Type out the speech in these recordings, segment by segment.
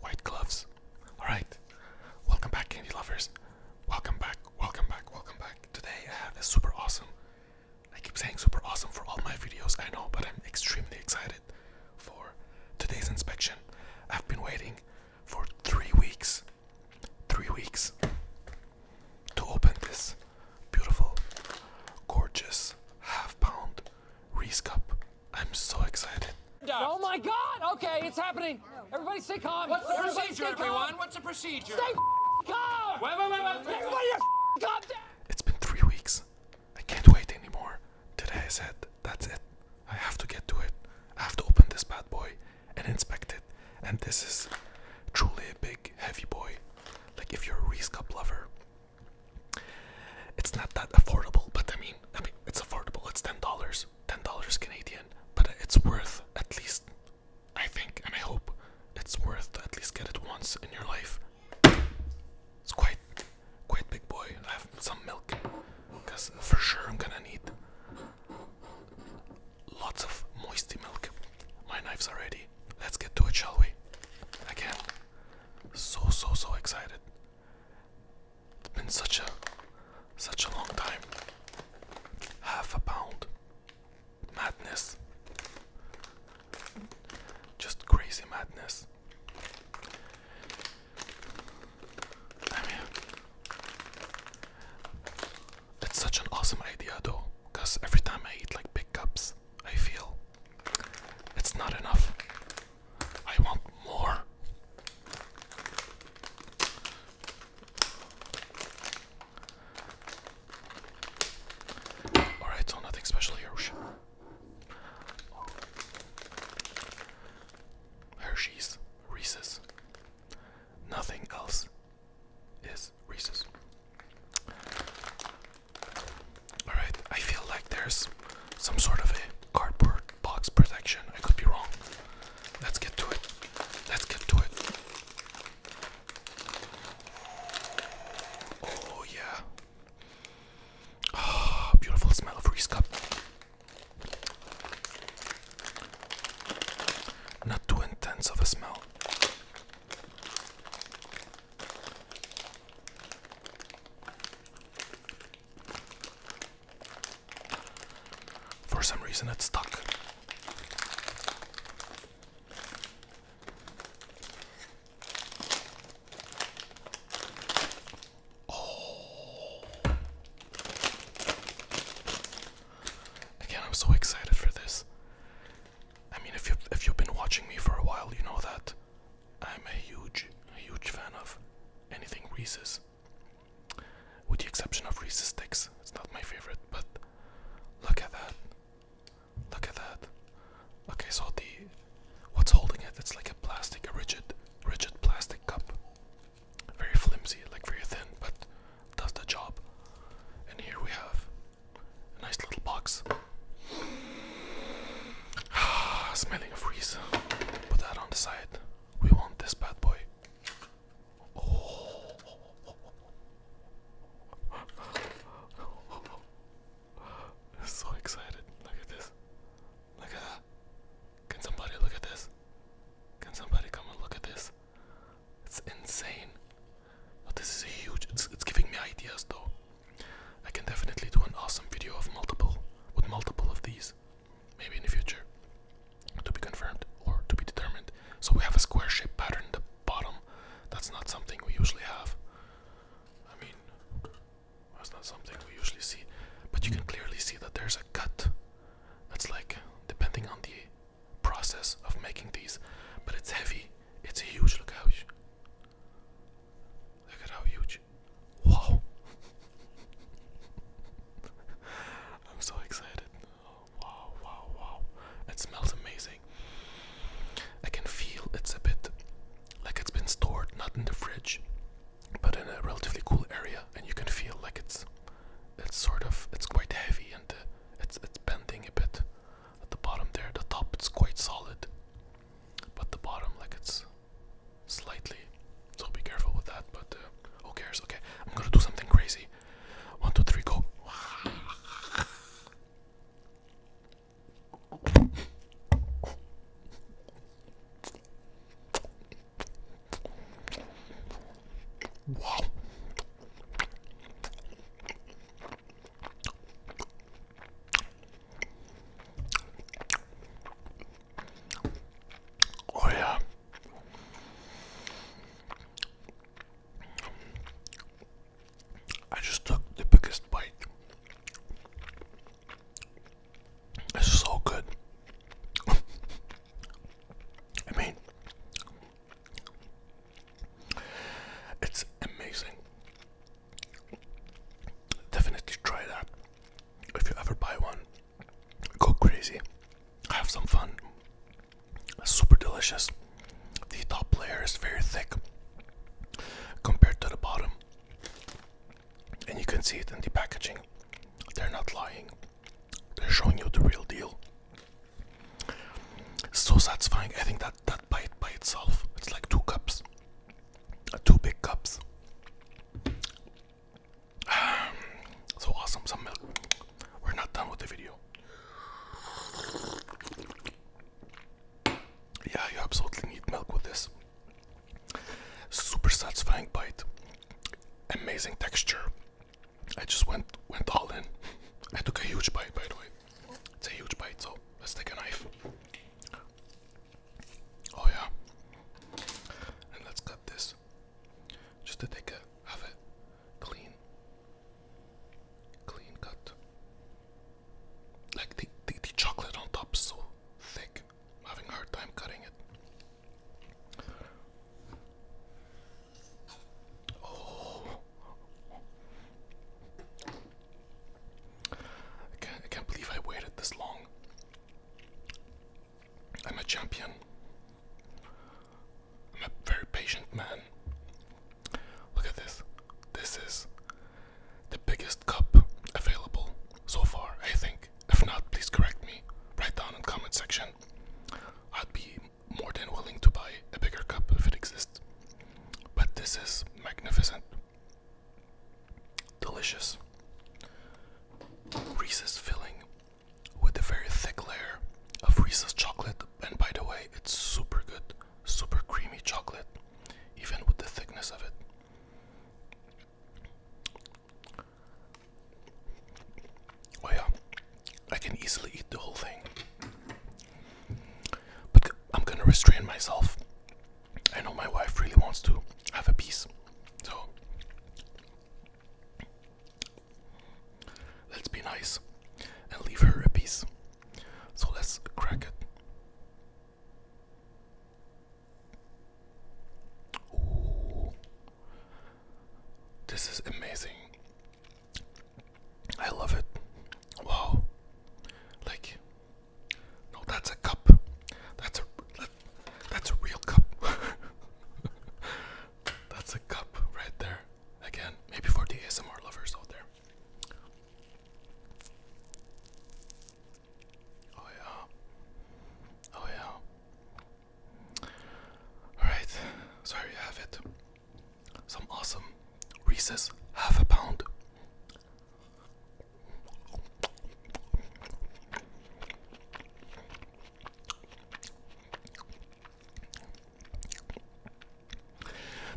White gloves. Alright, welcome back, candy lovers. Welcome back, welcome back, welcome back. Today I have a super awesome. I keep saying super awesome for all my videos, I know, but I'm extremely excited for today's inspection. I've been waiting for three weeks, three weeks to open this beautiful, gorgeous half pound Reese Cup. I'm so excited. Oh my God! Okay, it's happening. Everybody, stay calm. What's the procedure, everyone? Calm. What's the procedure? Stay calm. Wait, wait, wait, wait. Everybody, It's been three weeks. I can't wait anymore. Today I said, that's it. I have to get to it. I have to open this bad boy and inspect it. And this is truly a big, heavy boy. Like if you're a Reese Cup lover, it's not that affordable, but I mean, I mean, it's affordable. It's ten dollars, ten dollars Canadian, but it's worth at least. I think, and I hope, it's worth at least get it once in your life. It's quite, quite big boy. I have some milk, cause for sure I'm gonna need lots of moisty milk. My knife's already. Let's get to it, shall we? Again, so so so excited. It's been such a such a long time. Half a pound. Madness. Just crazy madness. I mean, it's such an awesome idea though, because every time I eat like big cups, I feel. It's not enough. I want more. Alright, so nothing special here. Hershey's, Reese's. Nothing else is Reese's. Alright, I feel like there's some sort of a cardboard box protection. I could be wrong. Let's get to it. Let's get to it. Oh, yeah. Ah, beautiful smell of Reese Not too intense of a smell. For some reason, it's stuck. Oh. Again, I'm so excited for this. I mean, if you if you've been watching me for a while, you know that I'm a huge, huge fan of anything Reese's. With the exception of Reese's sticks, it's not my favorite, but look at that. Look at that. Okay, so the what's holding it? It's like a plastic, a rigid, rigid plastic cup. Very flimsy, like very thin, but does the job. And here we have a nice little box. Smelling of freeze. Put that on the side. We want this bad boy. Oh. so excited. Look at this. Look at that. Can somebody look at this? Can somebody come and look at this? It's insane. Oh, this is huge. it's giving me ideas though. I can definitely do an awesome video of multiple with multiple of these, maybe in the future, to be confirmed or to be determined. So we have a square shape pattern in the bottom. That's not something we usually have. I mean, that's not something we usually see. But you can clearly see that there's a cut. That's like depending on the process of making these, but it's heavy. It's a huge. Look how Look at how huge. Wow. I'm so excited. wow, wow, wow. It smells amazing. I can feel it's a bit like it's been stored, not in the fridge, but in a relatively cool area, and you can feel like it's it's sort of it's quite heavy and uh, it's it's bending a bit at the bottom there. The top it's quite solid but the bottom like it's slightly so be careful with that but uh, who cares okay i'm gonna do something crazy one two three go wow Oh, yeah. I just took the biggest bite. It's so good. I mean, it's amazing. Definitely try that. If you ever buy one, go crazy. Have some fun. super delicious. The top layer is very thick compared to the bottom. And you can see it in the packaging. They're not lying. They're showing you the real deal. So satisfying. I think that that bite by itself, it's like two cups two big cups. so awesome, some milk. We're not done with the video. Yeah, you absolutely need milk with this. Super satisfying bite, amazing texture. I just went went all in. I took a huge bite, by the way. It's a huge bite, so let's take a knife. Oh yeah. And let's cut this. Just to take a have a clean clean cut. Like the, the the chocolate on top so thick. having hard time cutting it. Oh I can't, believe I waited this long. I'm a champion. I'm a very patient man. Look at this. This is the biggest cup available so far, I think. If not, please correct me. Write down in comment section. I'd be more than willing to buy a bigger cup if it exists. But this is magnificent. Delicious. Reese's filling with a very thick layer of Reese's chocolate, and by the way, it's super good, super creamy chocolate, even with the thickness of it. Oh, yeah, I can easily eat the whole thing. But I'm gonna restrain myself. I know my wife really wants to have a piece, so let's be nice and leave her a piece. So let's crack it. This is amazing. I love it. Wow. Like no, that's a cup. That's a that's a real cup. that's a cup right there. Again, maybe for the ASMR lovers out there. Oh yeah. Oh yeah. Alright, so here have it. Some awesome Reese's half a pound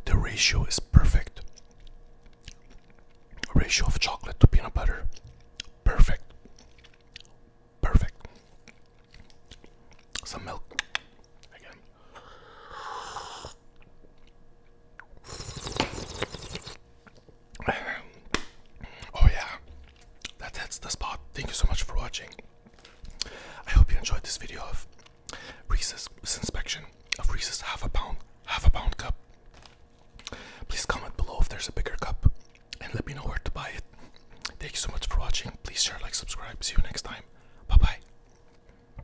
the ratio is perfect. Ratio of chocolate to peanut butter. Perfect. Perfect. Some milk again. Oh yeah, that hits the spot. Thank you so much for watching. I hope you enjoyed this video of Reese's inspection of Reese's half a pound half a pound cup. Please comment below if there's a bigger cup and let me know where to buy it. Thank you so much for watching. Please share, like, subscribe. See you next time. Bye bye.